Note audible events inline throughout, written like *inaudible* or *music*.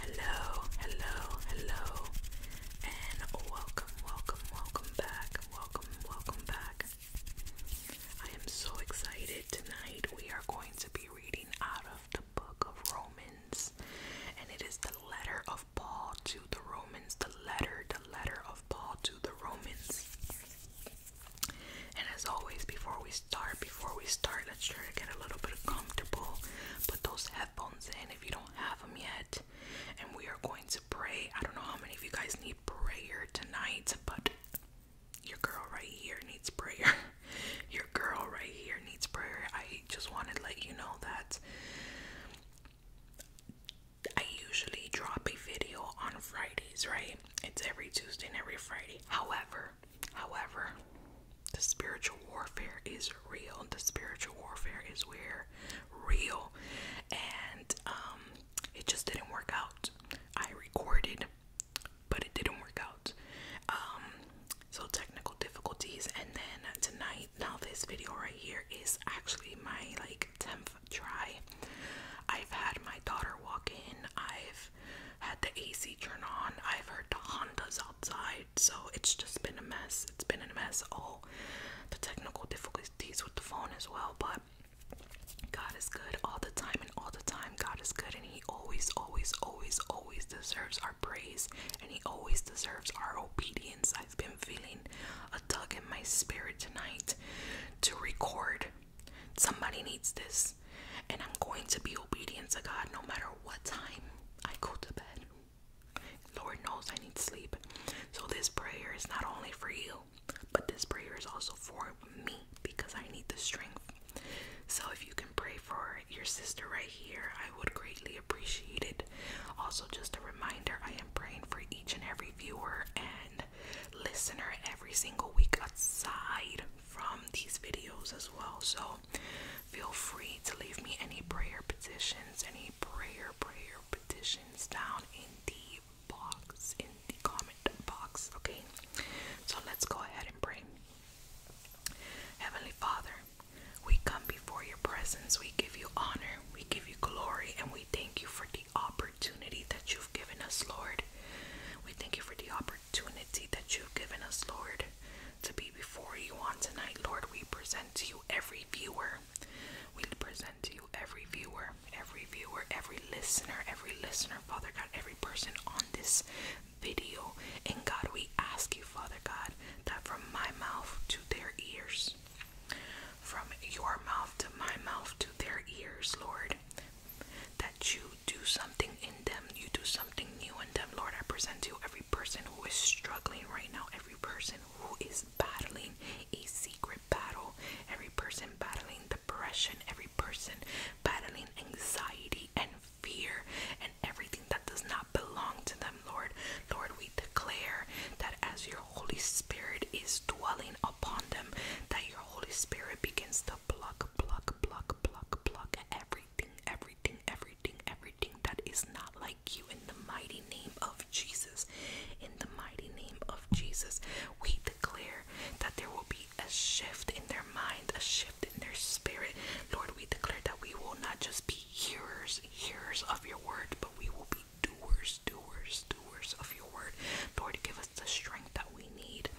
Hello, hello, hello, and welcome, welcome, welcome back. Welcome, welcome back. I am so excited. Tonight we are going to be reading out of the book of Romans, and it is the letter of Paul to the Romans, the letter, the letter of Paul to the Romans. And as always, before we before we start, let's try to get a little bit comfortable. Put those headphones in if you don't have them yet. And we are going to pray. I don't know how many of you guys need prayer tonight, but your girl right here needs prayer. *laughs* Your girl right here needs prayer. I just want to let you know that I usually drop a video on Fridays, right? It's every Tuesday and every Friday. However, However, the spiritual warfare is real. And the spiritual warfare is real, and um, it just didn't work out. I recorded, but it didn't work out. Um, so technical difficulties, and then tonight, now this video right here is actually my like tenth try. I've had my daughter walk in. I've I've had the AC turn on. I've heard the Hondas outside, so it's just been a mess. It's been a mess. All the technical difficulties with the phone as well, but God is good all the time and all the time. God is good and He always, always, always, always deserves our praise and He always deserves our obedience. I've been feeling a tug in my spirit tonight to record. Somebody needs this. And I'm going to be obedient to God no matter what time I go to bed. Lord knows I need sleep. So, this prayer is not only for you, but this prayer is also for me because I need the strength. So, if you can pray for your sister right here, I would greatly appreciate it. Also, just a reminder I am praying for each and every viewer and listener every single week, outside from these videos as well. So feel free to leave me any prayer petitions, any prayer, prayer petitions down in the box, in the comment box. Okay, so let's go ahead and pray. Heavenly Father, we come before your presence, we give you honor, we give you glory, and we thank you for the opportunity that you've given us, Lord. We thank you for the opportunity opportunity that you've given us, Lord, to be before you on tonight, Lord. We present to you every viewer. We present to you every viewer, every viewer, every listener, every listener, Father God, every person on this video. And God, we ask you, Father God, that from my mouth to their ears, from your mouth to my mouth to their ears, Lord, that you do something in them, you do something new in them. Lord, I present to you every person who is struggling right now, every person who is battling a secret battle, every person battling depression, every person battling anxiety and fear and everything that does not belong to them, Lord. Lord, we declare that as your Holy Spirit is dwelling upon them, that your Holy Spirit begins to pluck, pluck, pluck, pluck, pluck every everything, everything, everything, everything that is not like you in the mighty name of Jesus. In the mighty name of Jesus, we declare that there will be a shift in their mind, a shift in their spirit. Lord, we declare that we will not just be hearers, hearers of your word, but we will be doers, doers, doers of your word. Lord, give us the strength that we need.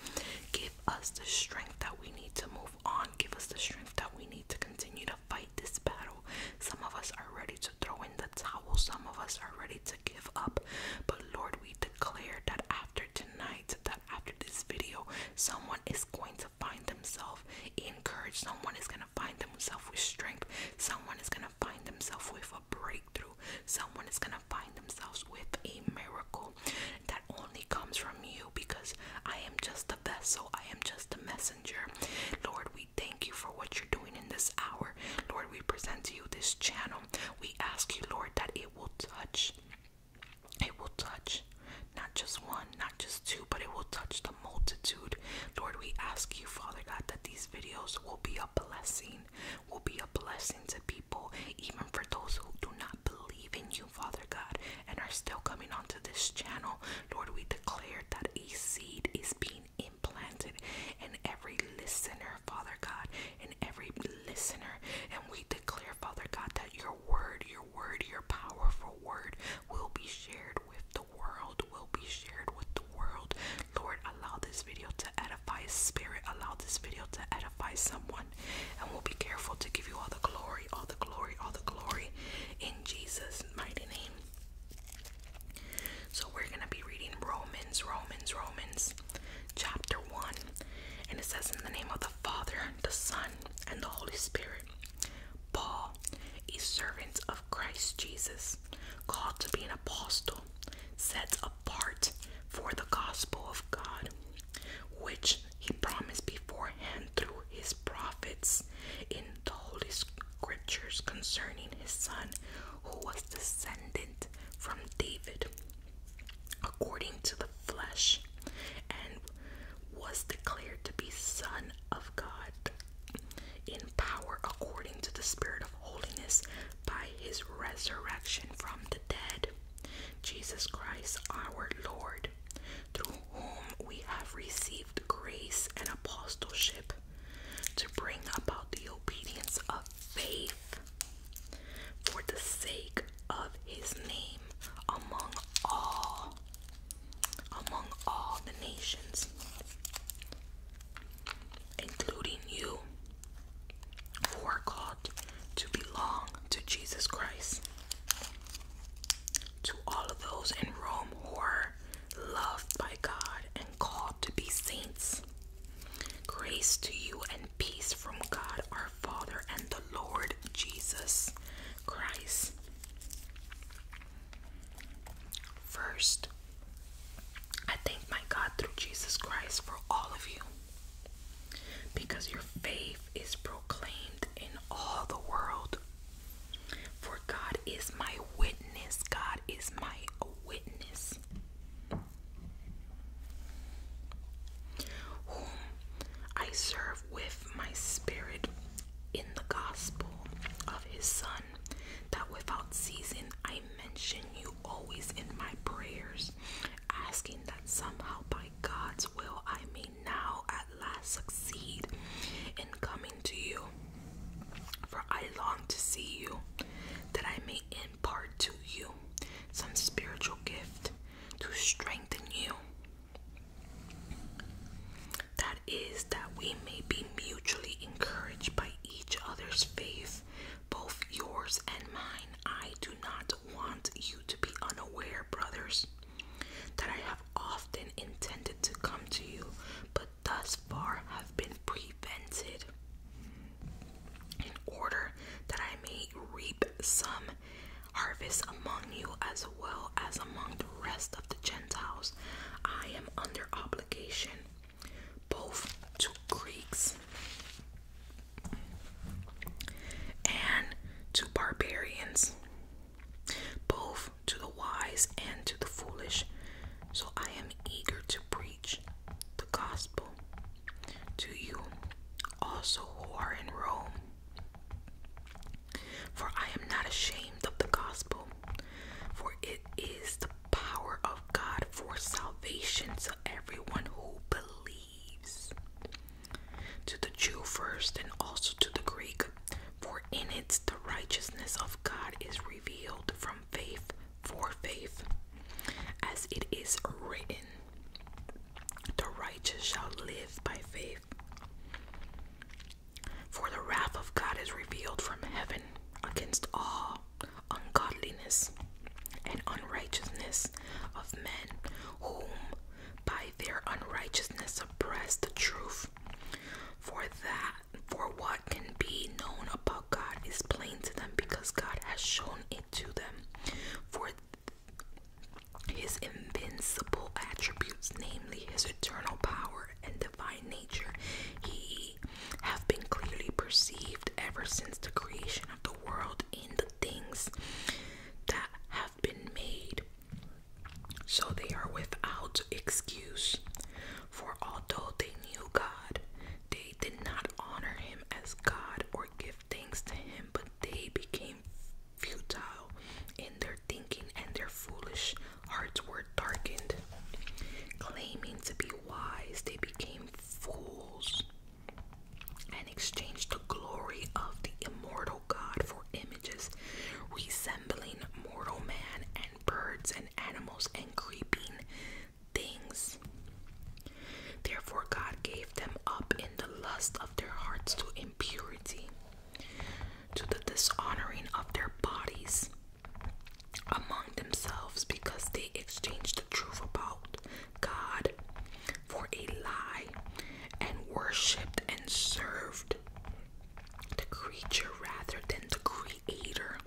Give us the strength that we need to move on. Give us the strength that we need to continue to fight this battle. Some of us are ready to throw in the towel, some of us are ready to give up. But Lord, we declare that after tonight, that after this video, someone is going to find themselves encouraged, someone is going to find themselves with strength, someone is going to find themselves with a breakthrough, someone is going to find themselves with a miracle that only comes from you because I am just the vessel, I am just a messenger. Lord, we thank you for what you're doing in this hour. Lord, we present to you this channel. We ask you, Lord, that it will touch. It will touch not just one, not just two, but it will touch the multitude. Lord, we ask you, Father God, that these videos will be a blessing, will be a blessing to people, even for those who do not believe in you. Father God, and are still coming onto this channel. Lord, we declare that a seed is being implanted in every listener, Father God, in every listener. And we declare, Father God, that your word, your word, your powerful word will be shared with the world, will be shared with the world. Lord, allow this video to edify a spirit, allow this video to edify someone. And we'll be careful to give you all the glory, all the glory, all the glory in Jesus' mighty name. So we're going to be reading Romans, Romans, Romans, chapter 1. And it says, In the name of the Father, the Son, and the Holy Spirit, Paul, a servant of Christ Jesus, called to be an apostle, set apart for the gospel of God, which he promised beforehand through his prophets in the Holy Scriptures concerning his son, who was descended from David according to the flesh, and was declared to be Son of God in power according to the Spirit of holiness by his resurrection from the dead. Jesus Christ, our Lord, through whom we have received grace and apostleship to bring about the obedience of faith for the sake of his name among all among all the nations including you who are to belong to Jesus Christ. To all of those in Rome who are loved by God and called to be saints, grace to you and peace from God our Father and the Lord Jesus Christ. First, I thank my God through Jesus Christ for all of you because your faith is proclaimed in all the world. For God is my witness. God is my witness. Whom I serve with my spirit in the gospel of his Son, that without ceasing I mention you always in my prayers, asking that somehow by God's will, I may now at last succeed in coming to you. For I long to see you, that I may impart to you some spiritual gift to strengthen you. That is, that we may be mutually encouraged by each other's faith, both yours and mine. I do not not want you to be unaware, brothers, that I have often intended to come to you, but thus far have been prevented, in order that I may reap some harvest among you as well as among the rest of the Gentiles. I am under obligation both to Greeks and to barbarians, both to the wise and to the foolish. So I am eager to preach the gospel to you also who are in Rome. For I am not ashamed of the gospel, for it is the power of God for salvation to everyone who believes. To the Jew first and also to the Greek, for in it the righteousness of God is revealed from faith for faith, as it is written, The righteous shall live by faith. For the wrath of God is revealed from heaven against all ungodliness and unrighteousness of men, whom by their unrighteousness oppress the truth. For that, for what can be known about God is plain to them because God has shown it to them. For his invincible attributes, namely his eternal power and divine nature, he have been clearly perceived ever since the creation of the world in the things that have been made. So they are without excuse. For although they knew God, they did not honor him as God or give thanks to him, but they became futile in their thinking and their foolish hearts were darkened. Claiming to be wise, they became fools and exchanged the glory of the immortal God for images resembling mortal man and birds and animals and creeping things. Therefore, God gave them up in the lust of their hearts to impurity, to the dishonoring of their bodies among themselves, because they exchanged the truth about God for a lie and worshipped and served the creature rather than the creator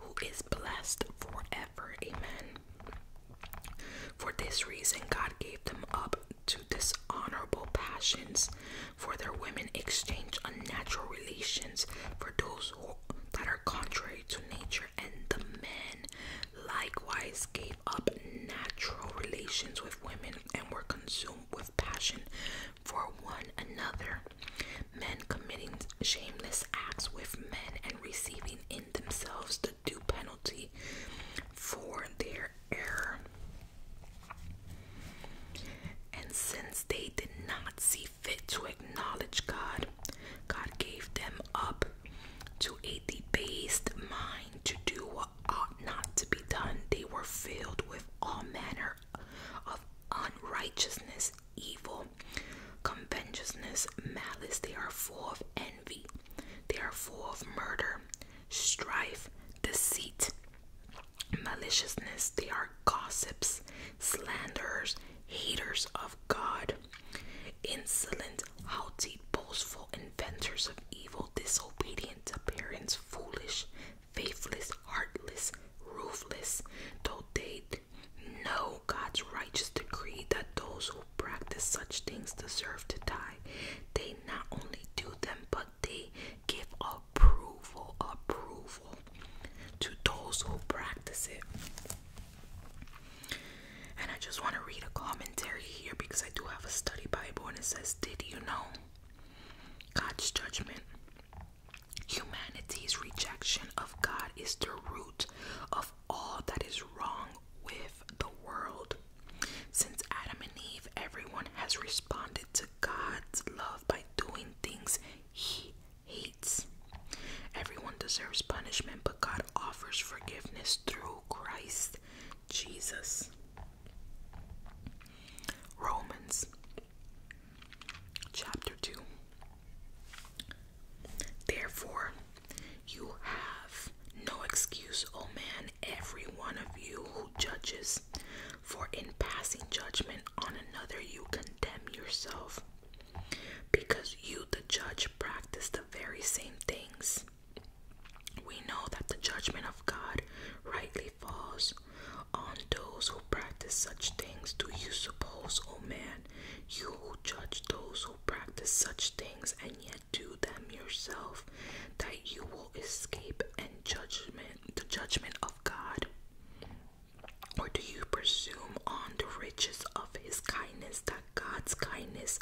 who is blessed forever. Amen. For this reason, God gave them up to dishonorable passions, for their women exchange unnatural relations for those that are contrary to nature and the men likewise gave up natural relations with women and were consumed with passion for one another. Men committing shameless acts with men and receiving in themselves the due penalty for their error. And since they did not see fit to acknowledge God, God gave them up to a debased mind to do what ought not to be done. They were filled with all manner of unrighteousness, evil, covetousness, malice. They are full of envy. They are full of murder, strife, deceit, maliciousness. They are gossips, slanderers, haters of God, Insolent, haughty, boastful, inventors of evil, disobedient to parents, foolish, faithless, heartless, ruthless, though they know God's righteous decree that those who practice such things deserve to die. They not only do them, but they give approval, approval to those who practice it. And I just want to read a commentary here because I do have a study Bible and it says, Did you know God's judgment? Humanity's rejection of God is the root of all that is wrong with the world. Since Adam and Eve, everyone has responded to God's love by doing things he hates. Everyone deserves punishment, but God offers forgiveness through Christ Jesus. Romans chapter 2. Therefore, you have no excuse, O man, every one of you who judges, for in passing judgment on another you condemn yourself because you, the judge, practice the very same things. We know that the judgment of God rightly falls on those who practice such things. Do you suppose, O oh man, you who judge those who practice such things and yet do them yourself, that you will escape and judgment the judgment of God? Or do you presume on the riches of his kindness God's kindness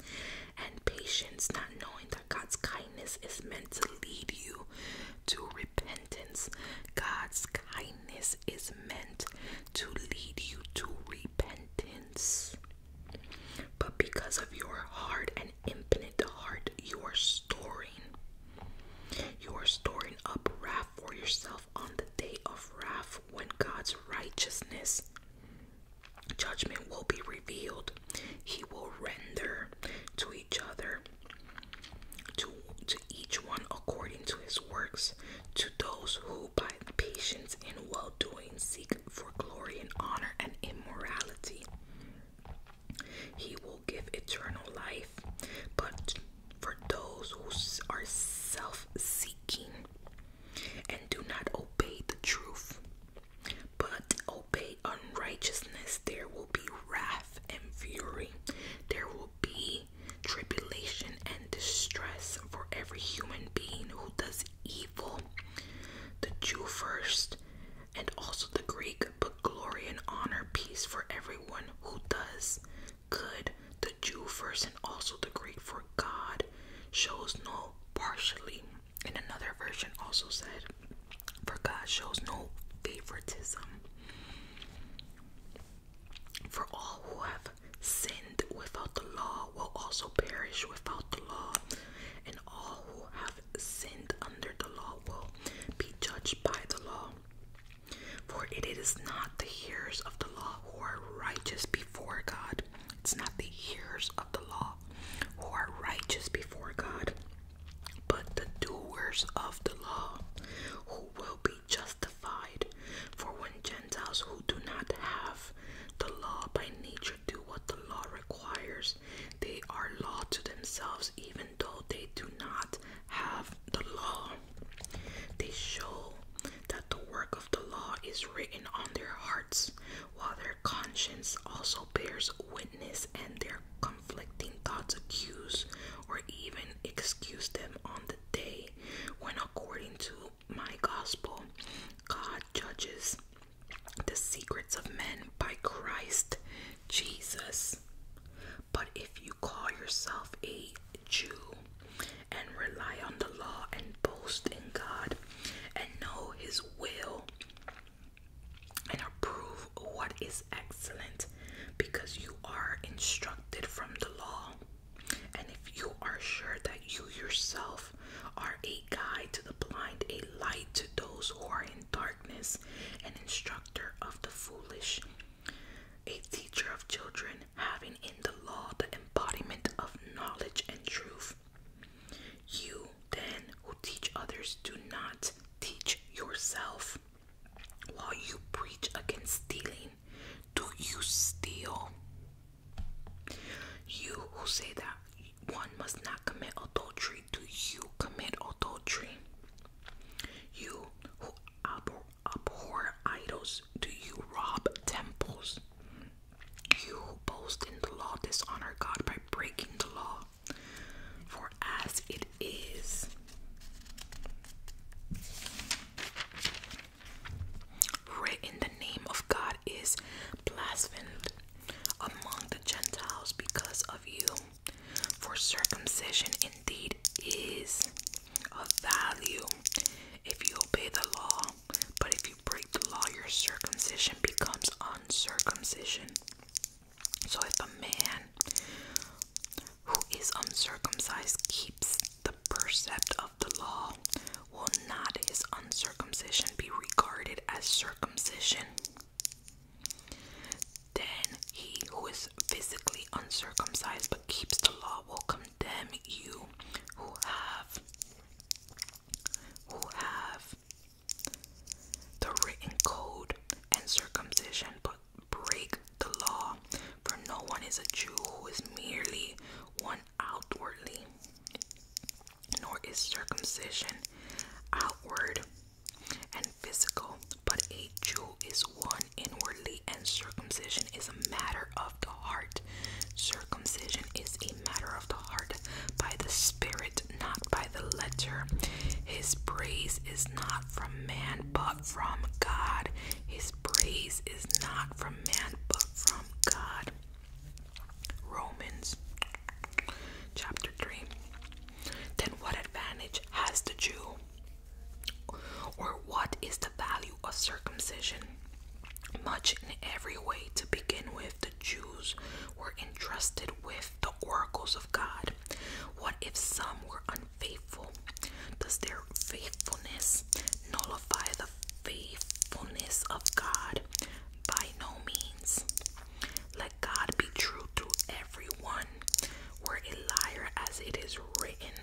and patience, not knowing that God's kindness is meant to lead you to repentance. God's kindness is meant to lead you to repentance. But because of your hard and impotent heart, you are storing. You are storing up wrath for yourself on the day of wrath when God's righteousness Judgment will be revealed. He will render to each other, to, to each one according to his works, to those who by patience and well doing seek for glory and honor and immorality. He will give eternal life, but for those who are self seeking and do not obey the truth, but obey unrighteousness, there will be wrath and fury. There will be tribulation and distress for every human being who does evil, the Jew first, and also the Greek, but glory and honor, peace for everyone who does good the Jew first and also the Greek, for God shows no partiality, And another version also said, for God shows no favoritism. For all who have sinned without the law will also perish without the law, and all who have sinned under the law will be judged by the law. For it is not the hearers of the law who are righteous before God, it's not the hearers of the law who are righteous before God, but the doers of the law who will be justified. For when Gentiles who do not have the law by nature do what the law requires, they are law to themselves, even though they do not have the law. They show that the work of the law is written on their hearts, while their conscience also bears witness and their conflicting thoughts accuse or even excuse them on the day when, according to my gospel, God judges the secrets of men by Christ Jesus. But if you call yourself a Jew and rely on the law and boast in God and know His will and approve what is excellent because you are instructed from the law. And if you are sure that you yourself are a guide to the blind, a light to those who are in darkness, an instructor of the foolish, a teacher of children, having in the law the embodiment of knowledge and truth. You, then, who teach others, do not teach yourself. While you preach against stealing, do you steal? You who say that one must not commit adultery, do you commit adultery? You who abhor abhor idols, do you rob temples? You boast in the law dishonor God by breaking the law. For as it is, written the name of God is blasphemed among the Gentiles because of you. For circumcision indeed is of value if you obey the law, but if you break the law, your circumcision becomes uncircumcision. So if a man who is uncircumcised keeps the precept of the law, will not his uncircumcision be regarded as circumcision? Then he who is physically uncircumcised but keeps the law will come them you who have who have the written code and circumcision but break the law for no one is a Jew who is merely one outwardly nor is circumcision outward and physical but a Jew is one inwardly and circumcision is a matter of of the heart. Circumcision is a matter of the heart by the Spirit, not by the letter. His praise is not from man, but from God. His praise is not from man, but from God. Romans chapter 3. Then, what advantage has the Jew? Or what is the value of circumcision? Much in every way to begin with, the Jews were entrusted with the oracles of God. What if some were unfaithful? Does their faithfulness nullify the faithfulness of God? By no means. Let God be true to everyone, were a liar as it is written,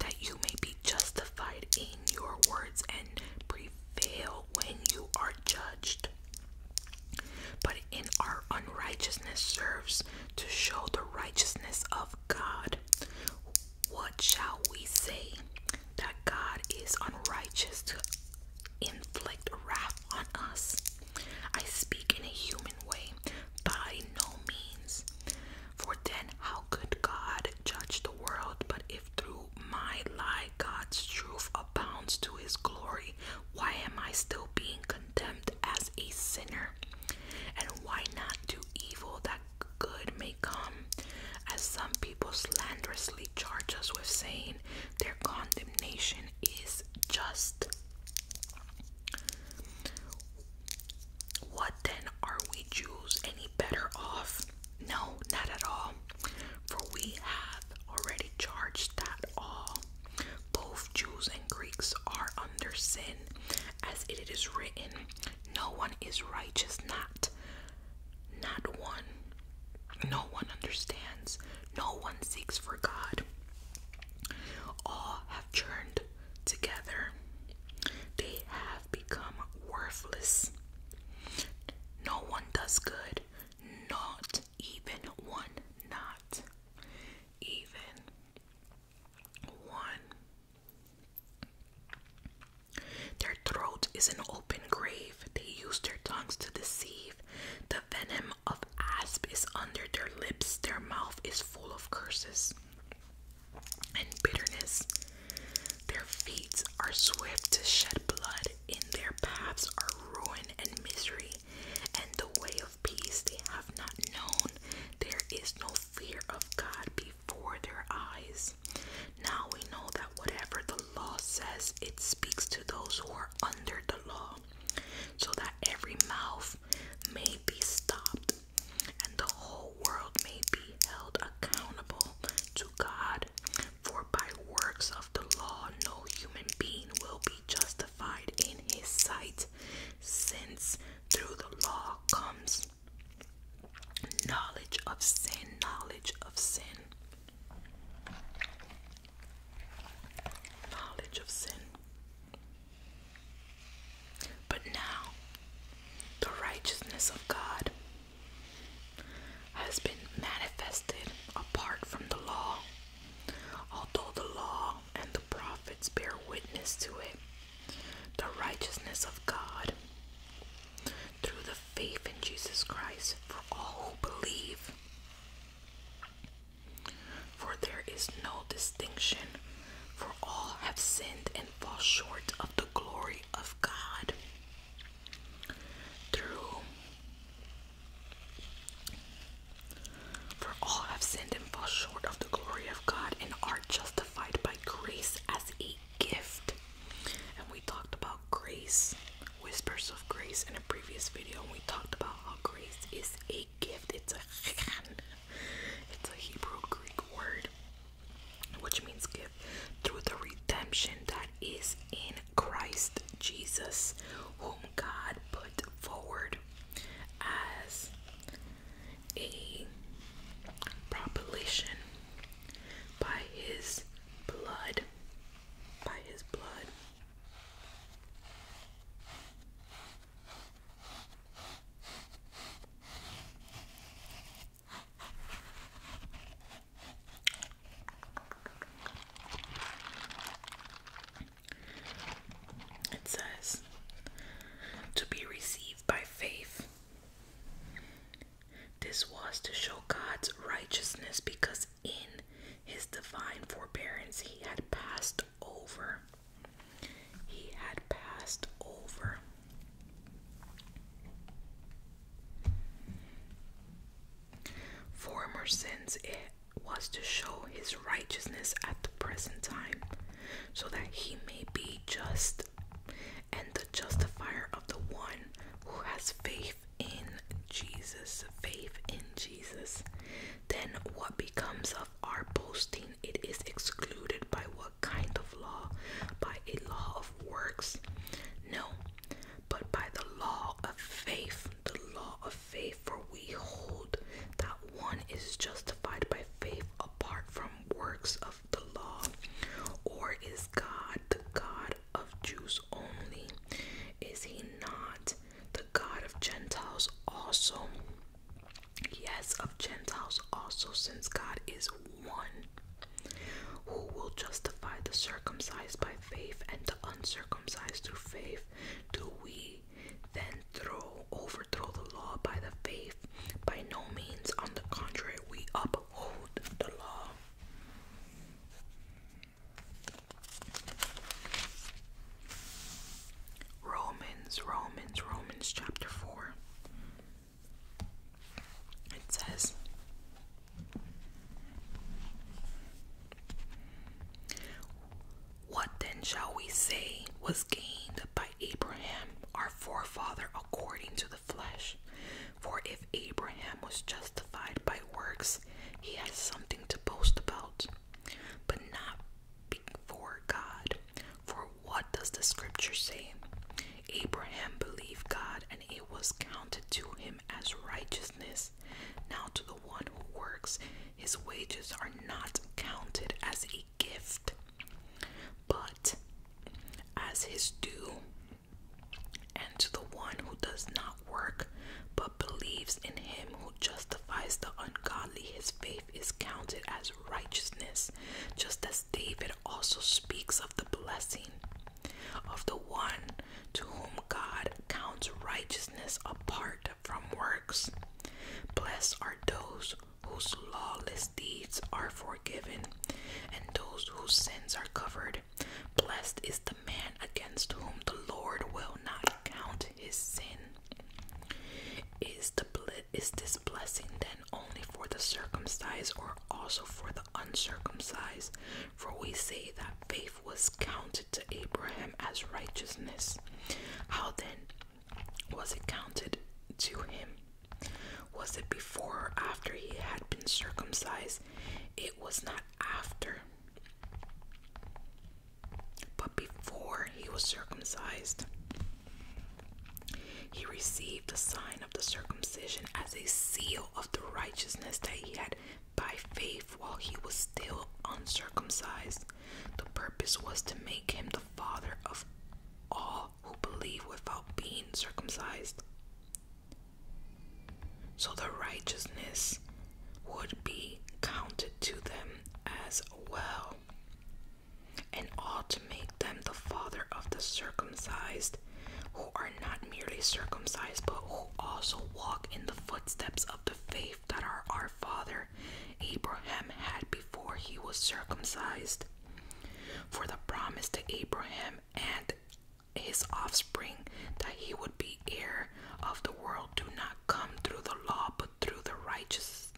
that you may be justified in your words and prevail when you are judged. But in our unrighteousness serves to show the righteousness of God. What shall we say? That God is unrighteous to inflict wrath on us. I speak in a human way, by no means. For then, how could God judge the world, but if through my lie God's truth abounds to his glory, why am I still being condemned as a sinner? And why not do evil that good may come? As some people slanderously charge us with saying, their condemnation is just. What then are we Jews any better off? No, not at all. For we have already charged that all. Both Jews and Greeks are under sin, as it is written, No one is righteous, not not one. No one understands, no one seeks for God. All have churned together. They have become worthless. No one does good, not even one, not even one. Their throat is an open grave. They use their tongues to deceive. The venom of asp is under their lips. Their mouth is full of curses and bitterness. Their feet are swift to shed blood, in their paths are ruin and misery, and the way of peace they have not known. There is no fear of God before their eyes. Now we know that whatever the law says, it speaks to those who are under the law, so that every mouth may be stopped and the whole world may be held accountable to God. For by works of the law, no human being will be justified in his sight, since through the law comes knowledge of sin, knowledge of sin, knowledge of sin. But now the righteousness of God has been manifested apart from the law, although the law and the prophets bear witness to it. The righteousness of God through the faith in Jesus Christ for all who believe. For there is no distinction, for all have sinned and fall short of the glory of God through for all have sinned and fall short of the glory of God and are justified by grace as a gift. And we talked about grace, whispers of grace in a previous video. we talked about how grace is a gift. It's a *laughs* it's a Hebrew Greek word which means gift, through the redemption that is in Christ Jesus, whom God put forward as a proposition by his blood. By his blood. It says to be received by faith. This was to show God's righteousness because in his divine forbearance he had passed over he had passed over. Former sins, it was to show his righteousness at the present time, so that he may be just and the justifier of the one who has faith in Jesus. Faith in Jesus. Then what becomes of? of our boasting, it is excluded by what kind of law? By a law of works? No, but by the law of faith. The law of faith, for we hold that one is justified by faith apart from works of the law. Or is God the God of Jews only? Is he not the God of Gentiles also? yes, of Gentiles also, since God is one, who will justify the circumcised by faith and the uncircumcised through faith. Do we then throw overthrow the law by the faith? By no means, on the contrary, we uphold the law. Romans, Romans, Romans chapter 4. It says What then shall we say was gained by Abraham, our forefather, according to the flesh? For if Abraham was justified by works, he has something to boast about, but not for God. For what does the scripture say? Abraham believed God and it was counted to him as righteousness. Now, to the one who works, his wages are not counted as a gift, but as his due. And to the one who does not work, but believes in him who justifies the ungodly, his faith is counted as righteousness, just as David also speaks of the blessing of the one to whom God counts righteousness apart from works. Blessed are those whose lawless deeds are forgiven, and those whose sins are covered. Blessed is the man against whom the Lord will not count his sin. Is the is this blessing then only for the circumcised or also for the uncircumcised? For we say that faith was counted to Abraham as righteousness. How then was it counted to him? Was it before or after he had been circumcised? It was not after, but before he was circumcised. He received the sign of the circumcision as a seal of the righteousness that he had by faith while he was still uncircumcised. The purpose was to make him the father of all who believe without being circumcised. So the righteousness would be counted to them as well and all to make them the father of the circumcised, who are not merely circumcised, but who also walk in the footsteps of the faith that our, our father Abraham had before he was circumcised. For the promise to Abraham and his offspring that he would be heir of the world do not come through the law, but through the righteous,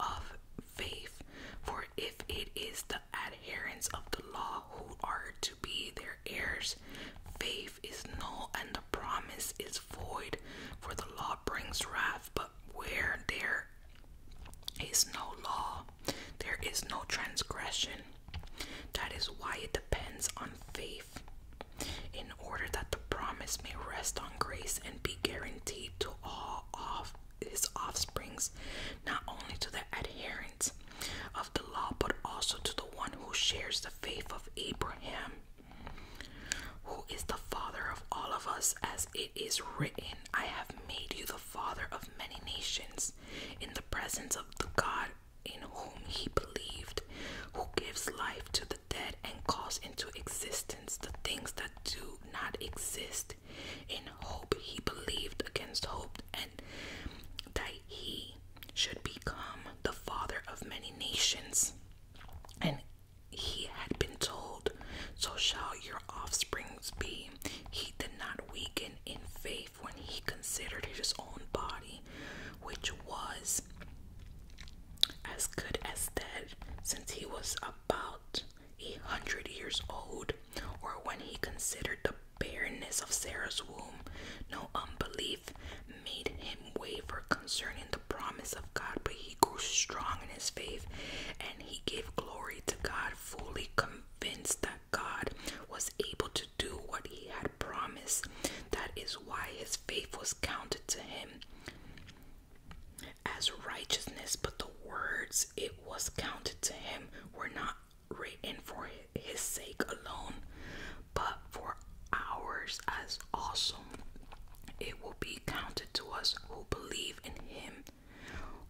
of faith. For if it is the adherents of the law who are to be their heirs, faith is null and the promise is void. For the law brings wrath, but where there is no law, there is no transgression. That is why it depends on faith, in order that the promise may rest on grace and be guaranteed to all of his offsprings, not only to the adherents of the law, but also to the one who shares the faith of Abraham, who is the father of all of us, as it is written, I have made you the father of many nations, in the presence of the God in whom he believed, who gives life to the dead and calls into existence the things that do not exist, in hope. He believed against hope and that he should become the father of many nations. And he had been told, So shall your offsprings be. He did not weaken in faith when he considered his own body, which was as good as dead, since he was about a hundred years old, or when he considered the barrenness of Sarah's womb, no unbelief made him waver concerning the promise of God, but he grew strong in his faith and he gave glory to God, fully convinced that God was able to do what he had promised. That is why his faith was counted to him as righteousness, but the words it was counted to him were not written for his sake alone, but for ours as also. It will be counted to us who believe in him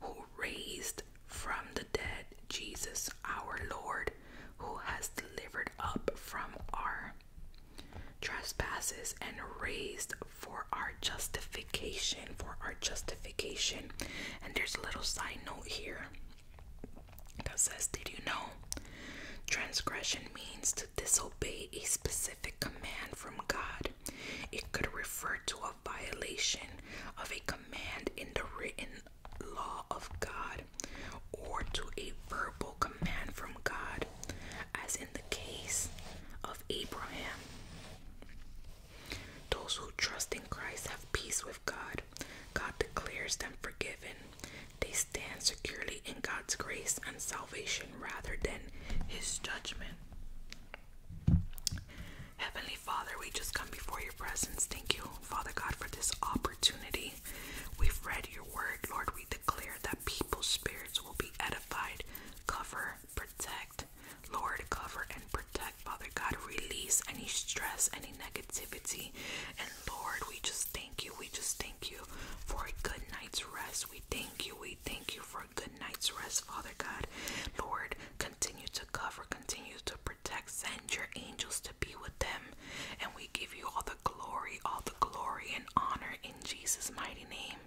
who raised from the dead Jesus our Lord, who has delivered up from our trespasses and raised for our justification, for our justification. And there's a little side note here that says, Did you know? Transgression means to disobey a specific command from God. It could refer to a violation of a command in the written law of God or to a verbal command from God, as in the case of Abraham. Those who trust in Christ have peace with God. God declares them forgiven. They stand securely in God's grace and salvation rather than His judgment. Heavenly Father, we just come before your presence. Thank you, Father God, for this opportunity. We've read your word, Lord. We declare that people's spirits will be edified, covered, protect. Lord, cover and protect, Father God. Release any stress, any negativity. And Lord, we just thank you. We just thank you for a good night's rest. We thank you. We thank you for a good night's rest, Father God. Lord, continue to cover, continue to protect. Send your angels to be with them. And we give you all the glory, all the glory and honor in Jesus' mighty name.